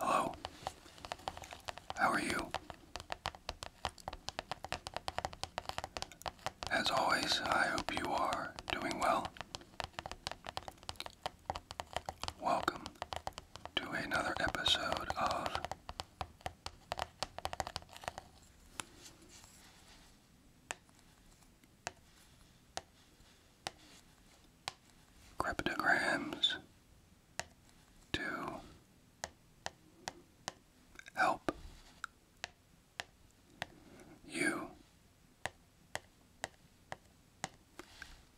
Hello. How are you? As always, I hope you are doing well. Welcome to another episode of Cryptograms to help you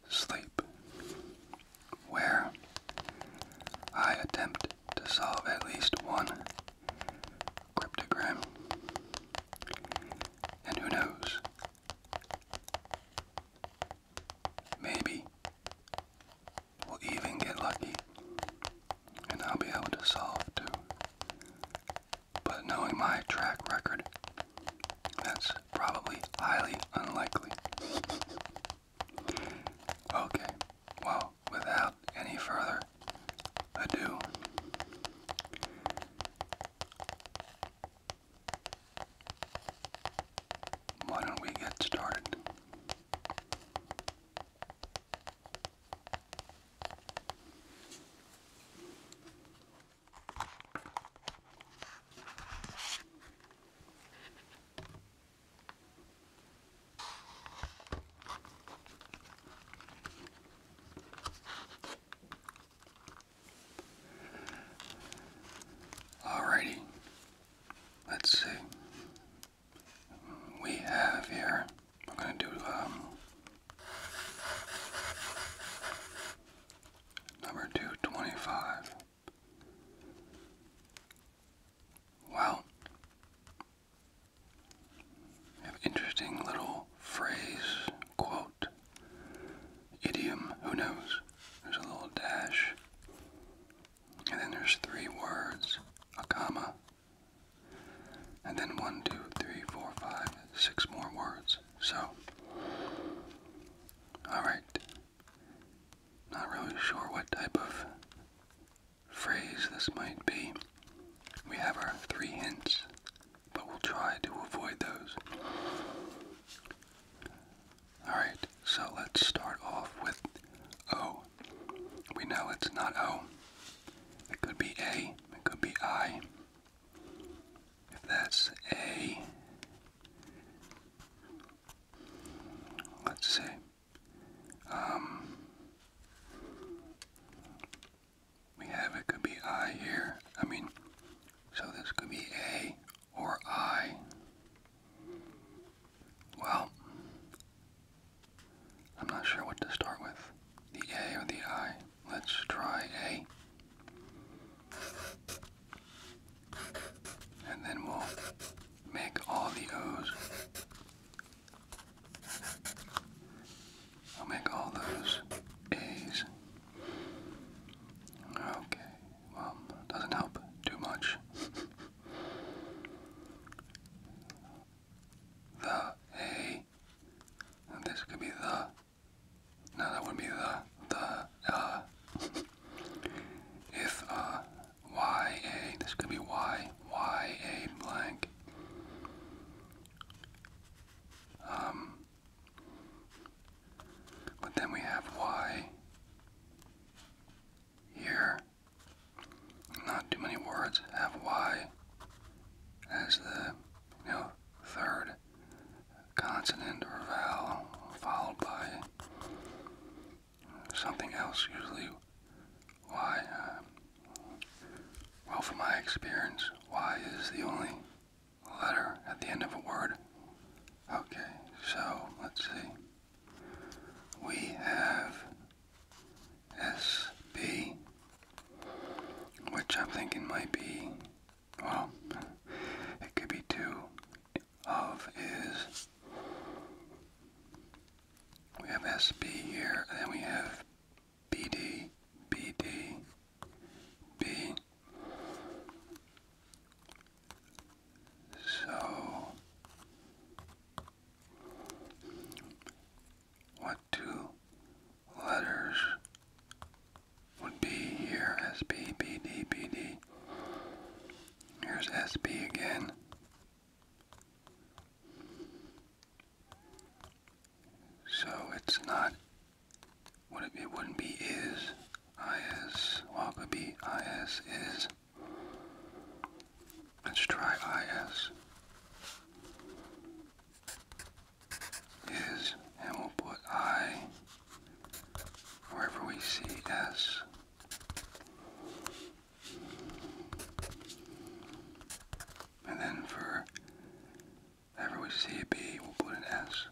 sleep where I attempt to solve at least one cryptogram. And who knows? Maybe we'll even get lucky and I'll be able to solve two. But knowing my track record, that's probably highly unlikely. Okay, well, without any further ado, why don't we get started? Alrighty, let's see. We have here, we're going to do um, number 225. Wow. interesting little phrase, quote, idiom, who knows? There's a little dash. And then there's three words, a comma. And then one, two, three, four, five, six more words. So, alright. Not really sure what type of phrase this might be. We have our three hints, but we'll try to avoid those. Alright, so let's start off with O. We know it's not O. It could be A, it could be I. If that's A, let's see. Um, we have it could be I here. I mean, so this could be A or I. Well, I'm not sure what to start with, the A or the I. Let's try A and then we'll make all the O's. I'll make all those A's. Okay, well, doesn't help too much. the A. this could be the. No, that would be the. The. Uh. if uh. YA. This could be Y Y A blank. Um, but then we have Y here. Not too many words have Y as the, you know, third consonant or vowel followed by something else usually why um, well from my experience why is the only letter at the end of a word okay so let's see we have SB which I'm thinking might be well it could be two of is we have SB here, and then we have BD, BD, B. So, what two letters would be here? SB, BD, BD. Here's SB again. So it's not, would it, wouldn't be is, is, well it could be is, is. Let's try is. Is, and we'll put I wherever we see S. And then for whenever we see a B, we'll put an S.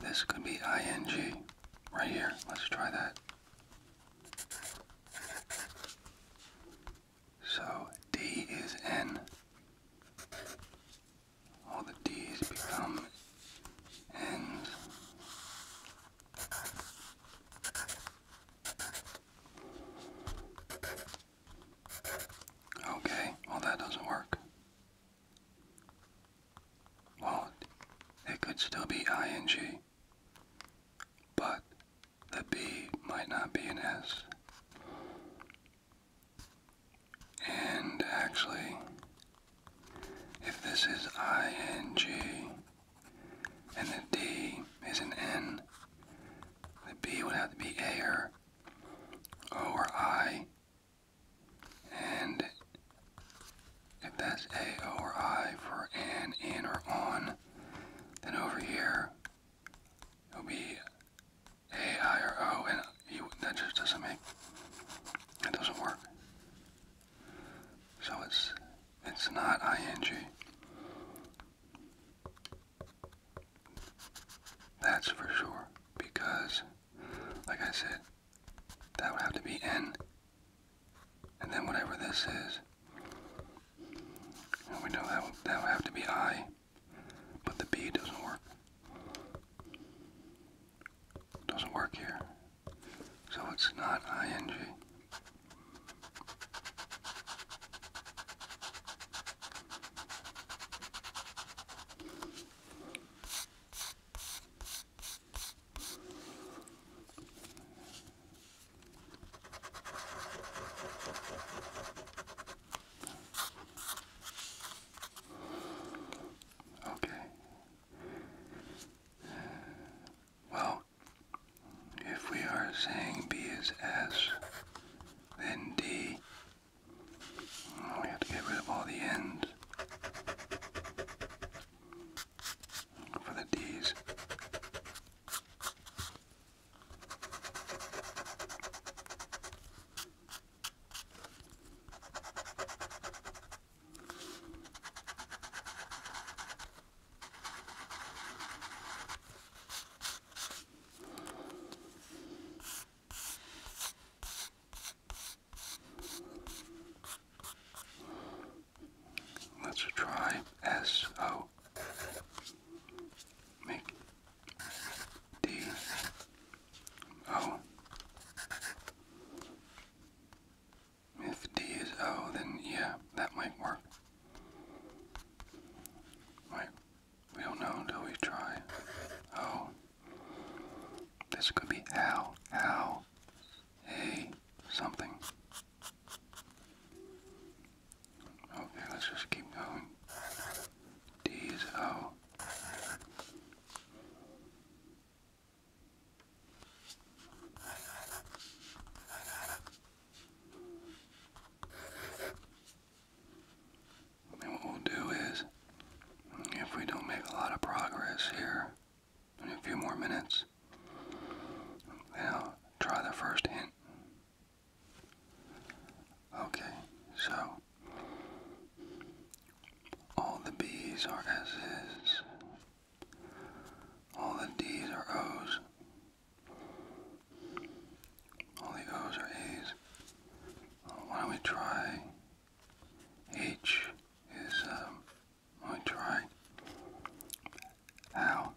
This could be ing right here. Let's try that. So D is N. All the D's become N's. Okay, well that doesn't work will It could still be ing, but the B might not be an S. And actually, if this is ing and the D is an N, the B would have to be A or I and if that's A or I for an, in, or on, then over here it'll be A, I, or O, and you, that just doesn't make, that doesn't work. So it's, it's not ing. That's for sure, because like I said, that would have to be n. And then whatever this is, we know that that would have to be i, but the b doesn't work. Doesn't work here. So it's not ing. Okay. Well, if we are saying B is S, then D we have to get rid of all the ends for the D's. Let's try S O. Make D O. If D is O, then yeah, that might work. Right, we don't know until we try. O. This could be how, how, hey, something. Okay, let's just keep going. D is O what we'll do is, if we don't make a lot of progress here in a few more minutes, then I'll try the first hint. Okay, so all the B's are S's, all the D's are O's, all the O's are A's. Why don't we try H is um, I try how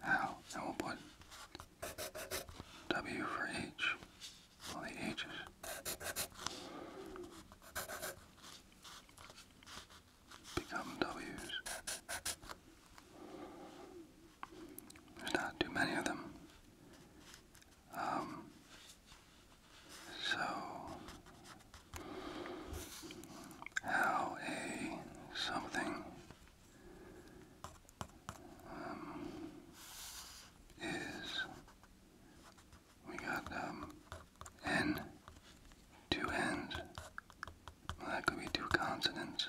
how and we'll put W for H all the H's. Become W's. There's not too many of them. Um, so, how something um, is, we got um, N, two N's, that could be two consonants,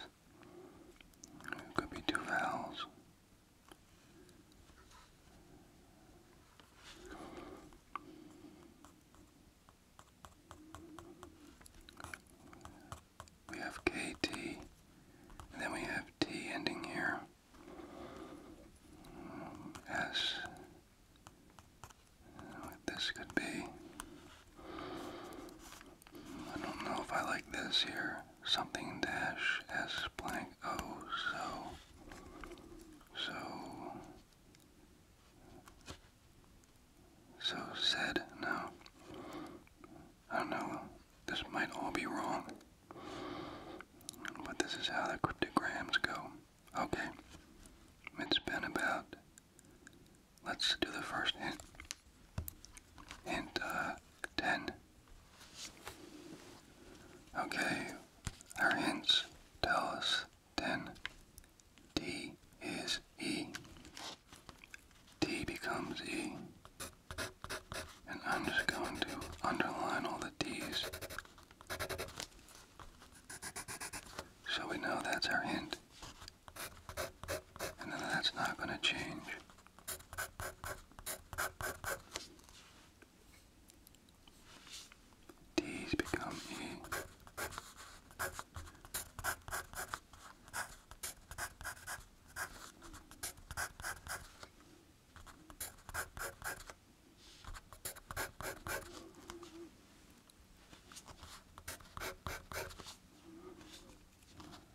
could be two vowels. We have KT, and then we have T ending here. S. What this could be. I don't know if I like this here something dash s blank o so so so said no I don't know this might all be wrong but this is how the cryptograms go okay it's been about let's do the first hint hint uh, ten Okay, our hints tell us then D is E. D becomes E. And I'm just going to underline all the D's. So we know that's our hint. And that's not going to change. D's become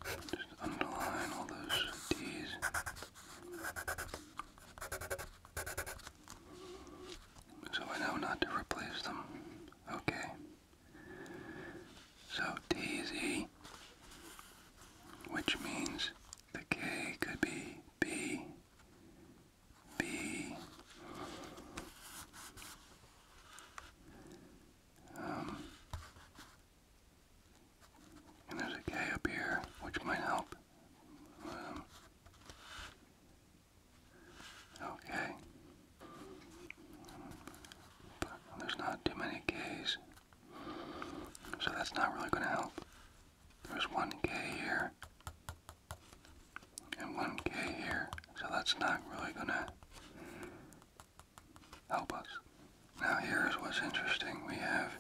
just underline all those D's. So I know not to replace them. Okay. So T which means the K could be B, B. Um, and there's a K up here, which might help. Um, okay. There's not too many Ks, so that's not really going to help. There's one K here, and one K here, so that's not really going to help us. Now here's what's interesting. We have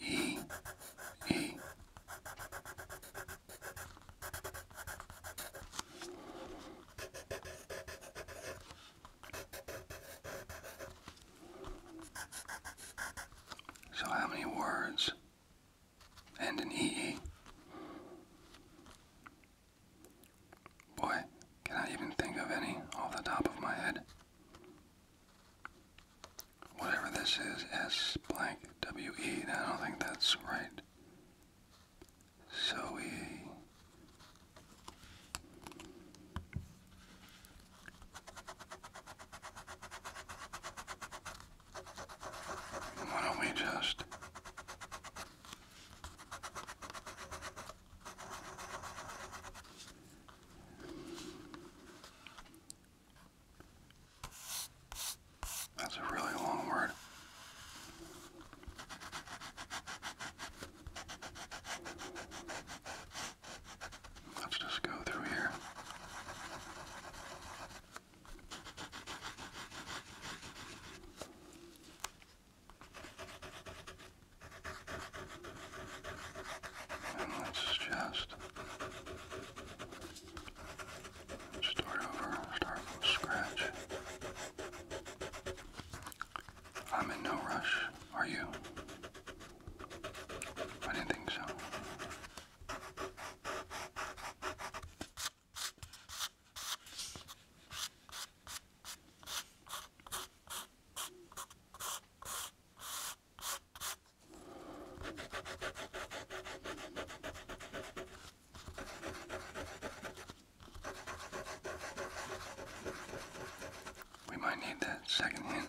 E, So how many words and an EE? Boy, can I even think of any off the top of my head? Whatever this is, S blank W E, I don't think that's right. So Why don't we just that's a really long word. Let's just go through here let's just start over, start from scratch. I'm in no rush, are you? I didn't think so. We might need that second hint.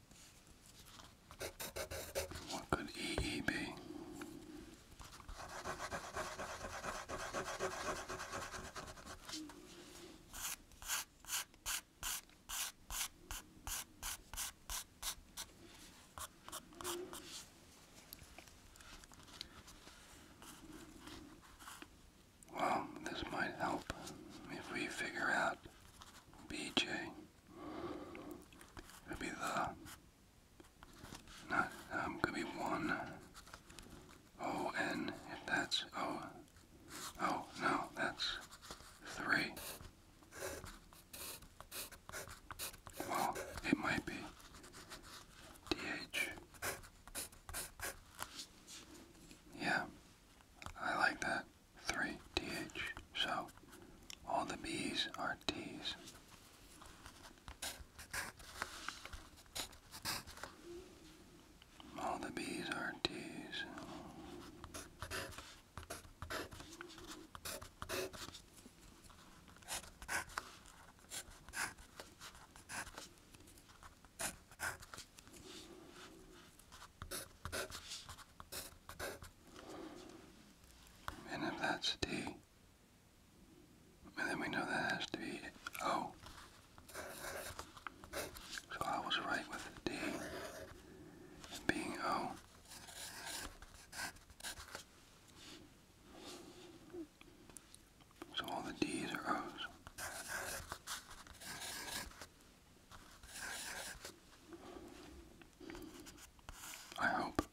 What could EE be? Well, this might help if we figure out BJ. Could be the. Not. Um, could be one. O N. that's O. Oh, no, that's three. Well, it might be DH. Yeah, I like that. Three DH. So all the bees are T's. All the B's are T's. And if that's D, then we know that has to be O. So I was right with D being O. So all the D's are O's. I hope.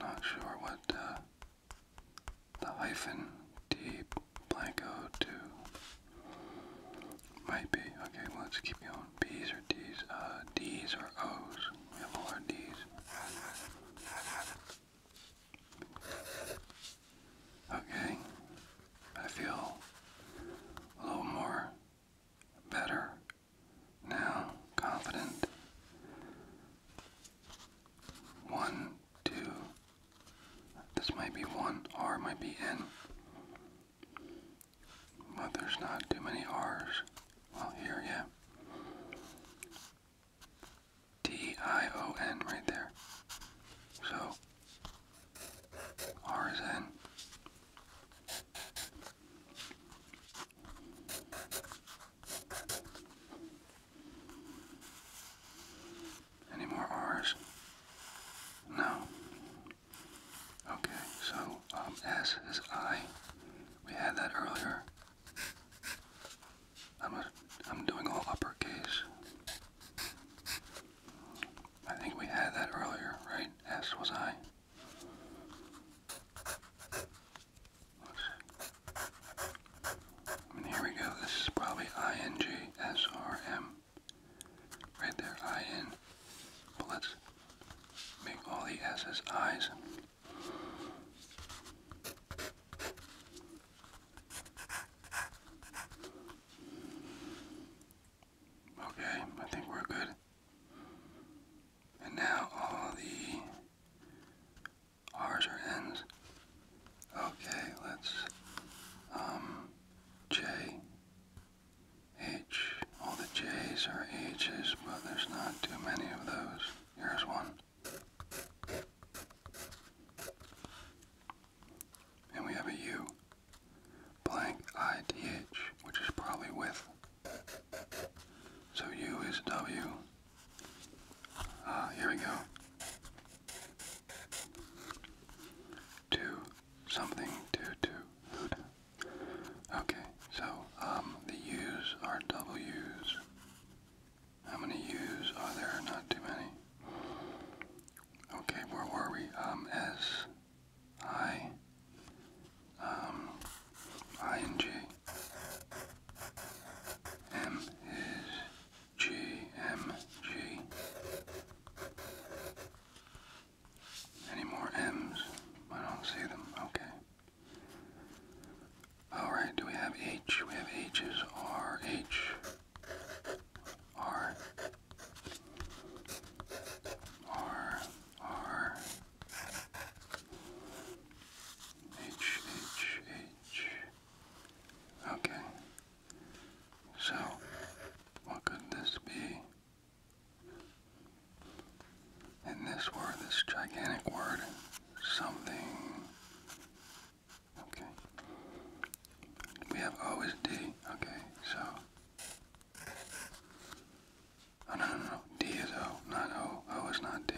Not sure what uh, the hyphen D blank O two might be. Okay, let's keep going. B's or D's? Uh, D's or O's? We have all D's. Okay, I feel a little more better, now confident. One, two. This might be one R, might be N. But there's not too many R's. Well, here, yeah. T I O N right there. So, R in. Any more R's? No. Okay, so um, S is I. We had that earlier. I'm, a, I'm doing all uppercase. I think we had that earlier, right? S was I. And here we go. This is probably INJSRM. Right there, IN. But let's make all the S's I's. Okay, I think we're good. And now all the R's are N's. Okay, let's, um, J, H. All the J's are H's, but there's not too many of those. Here's one. And we have a U blank ith, which is probably with. So u is w. Ah, here we go. Two, something, two, two. Okay, so um, the u's are w's. How many u's are there? Not too many. Okay, where were we? Um, S. Um, I, um, and m is g, m, g. Any more m's? I don't see them. Okay. Alright, do we have H? We have H's, R, H, R, R R H H H. Okay. So, what could this be? In this word, this gigantic word, something. Okay. We have O Okay, so Oh, no, no, no. D is O, not O. O is not D.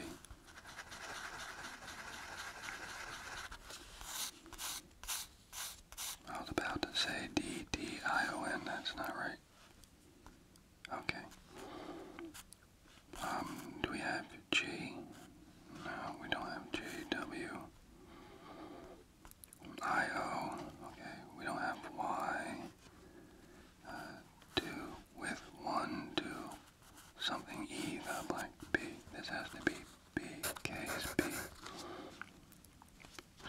I was about to say D, D, I, O, N. That's not right. Okay. Um, do we have G? No, we don't have G, W. IO. Okay, we don't have Y. two uh, with one, two. Something E, the like B. This has to be B. K is B.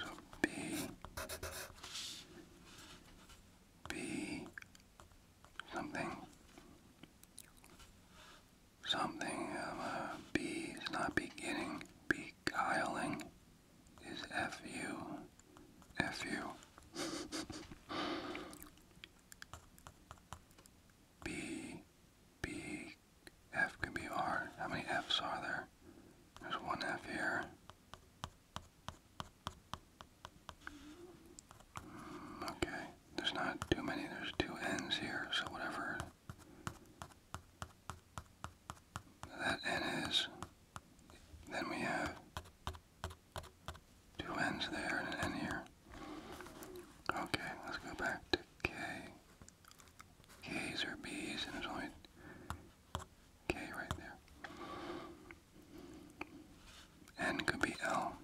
So B. B. Something. Something. B is not beginning. Beguiling is F-U. F-U. B, B, F can be R. How many Fs are there? There's one F here. Hmm, okay, there's not too many. There's two N's here, so whatever that n is. Then we have two n's there and an n here. Okay, let's go back to k. K's or b's, and there's only k right there. N could be L.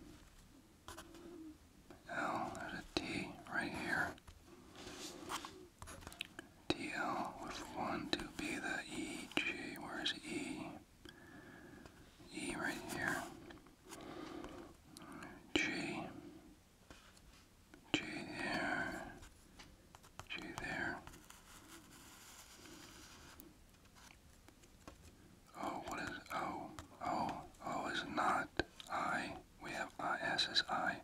L, there's a T right here. DL with 1 to be the EG. Where's E? E right here. G. G there. G there. Oh, what is O? O. O is not I. We have I. S is I.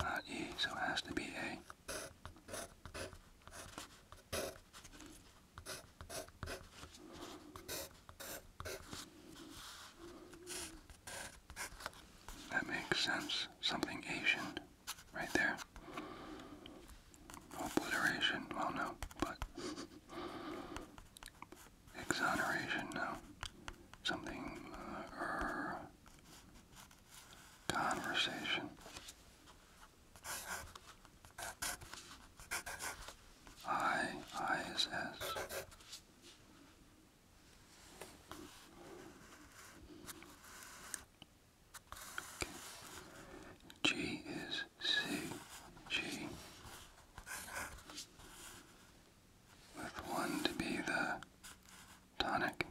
not E, so has to be A. That makes sense. Something Asian right there. Obliteration, well no, but exoneration, no. Something, uh, er, conversation. I, I is S. is C, G. With one to be the tonic.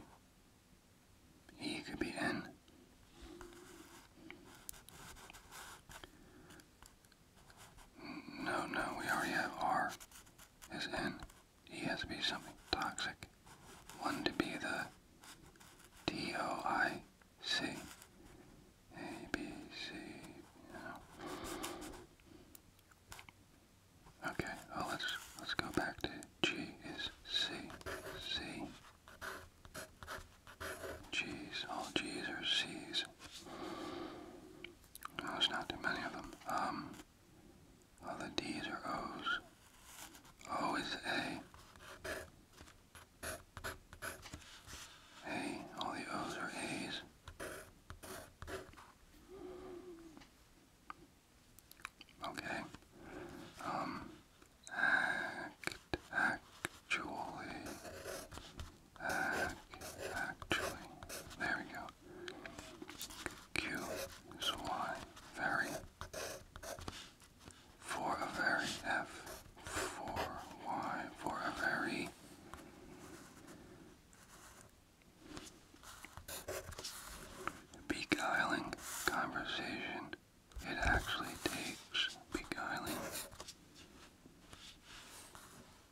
He could be in. No, no, we already have R is N. He has to be something toxic. One to be the D O I C. A B C. Okay, well let's let's go back to G is C, C. G's, all G's are C's. No, there's not too many of them. Um, all the D's are O's. O is A. A, all the O's are A's. Okay. Um, act, actually, act, actually, there we go. Q very. For a very F, for Y, for a very beguiling conversation. It actually takes beguiling.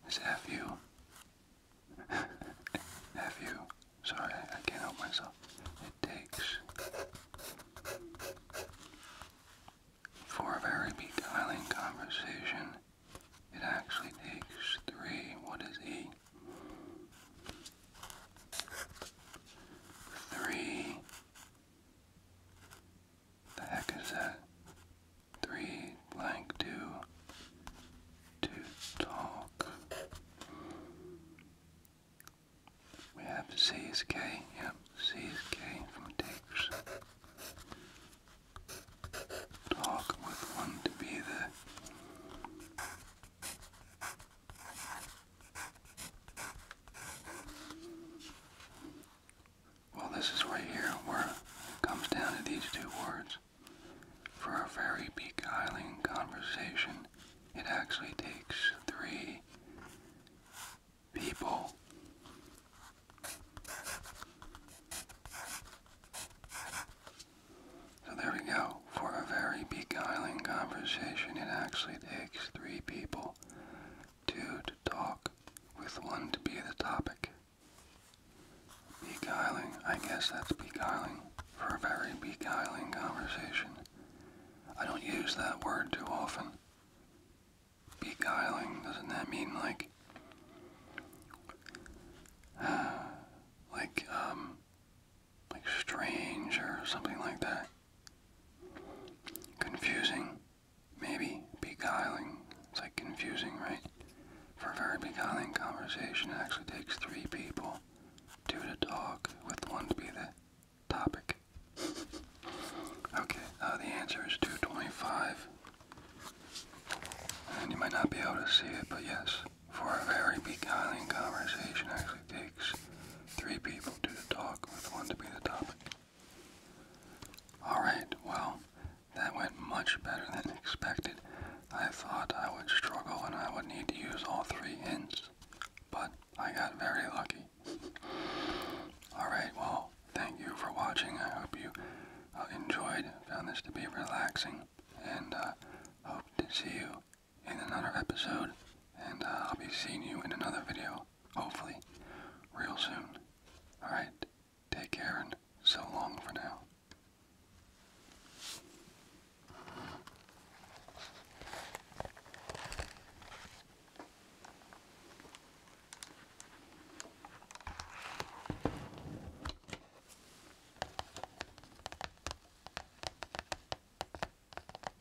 Is you? F you. Sorry, I can't help myself. It takes for a very beguiling conversation. It actually takes three. What is E? Three. The heck is that? Three blank two. To talk. We have CSK, yep, CSK from Takes. Talk with one to be the well, this is right here where it comes down to these two words. For a very beguiling conversation, it actually takes three people. So there we go. For a very beguiling conversation, it actually takes three people two to talk, with one to be the topic. Beguiling, I guess that's beguiling. For a very beguiling conversation. I don't use that word too often. Beguiling, doesn't that mean like. like, um. Like strange or something like that. Confusing, maybe beguiling. It's like confusing, right? For a very beguiling conversation, actually takes three people, two to talk, with one to be the topic. Okay, uh, the answer is 225. And you might not be able to see it, but yes, for a very beguiling conversation, actually takes three people to the talk with one to be the topic. Alright, well, that went much better than expected. I thought I would struggle and I would need to use all three hints, but I got very lucky. Alright, well, thank you for watching. I hope you uh, enjoyed, found this to be relaxing, and uh, hope to see you in another episode, and uh, I'll be seeing you in another video, hopefully, real soon. Alright, take care and so long for now.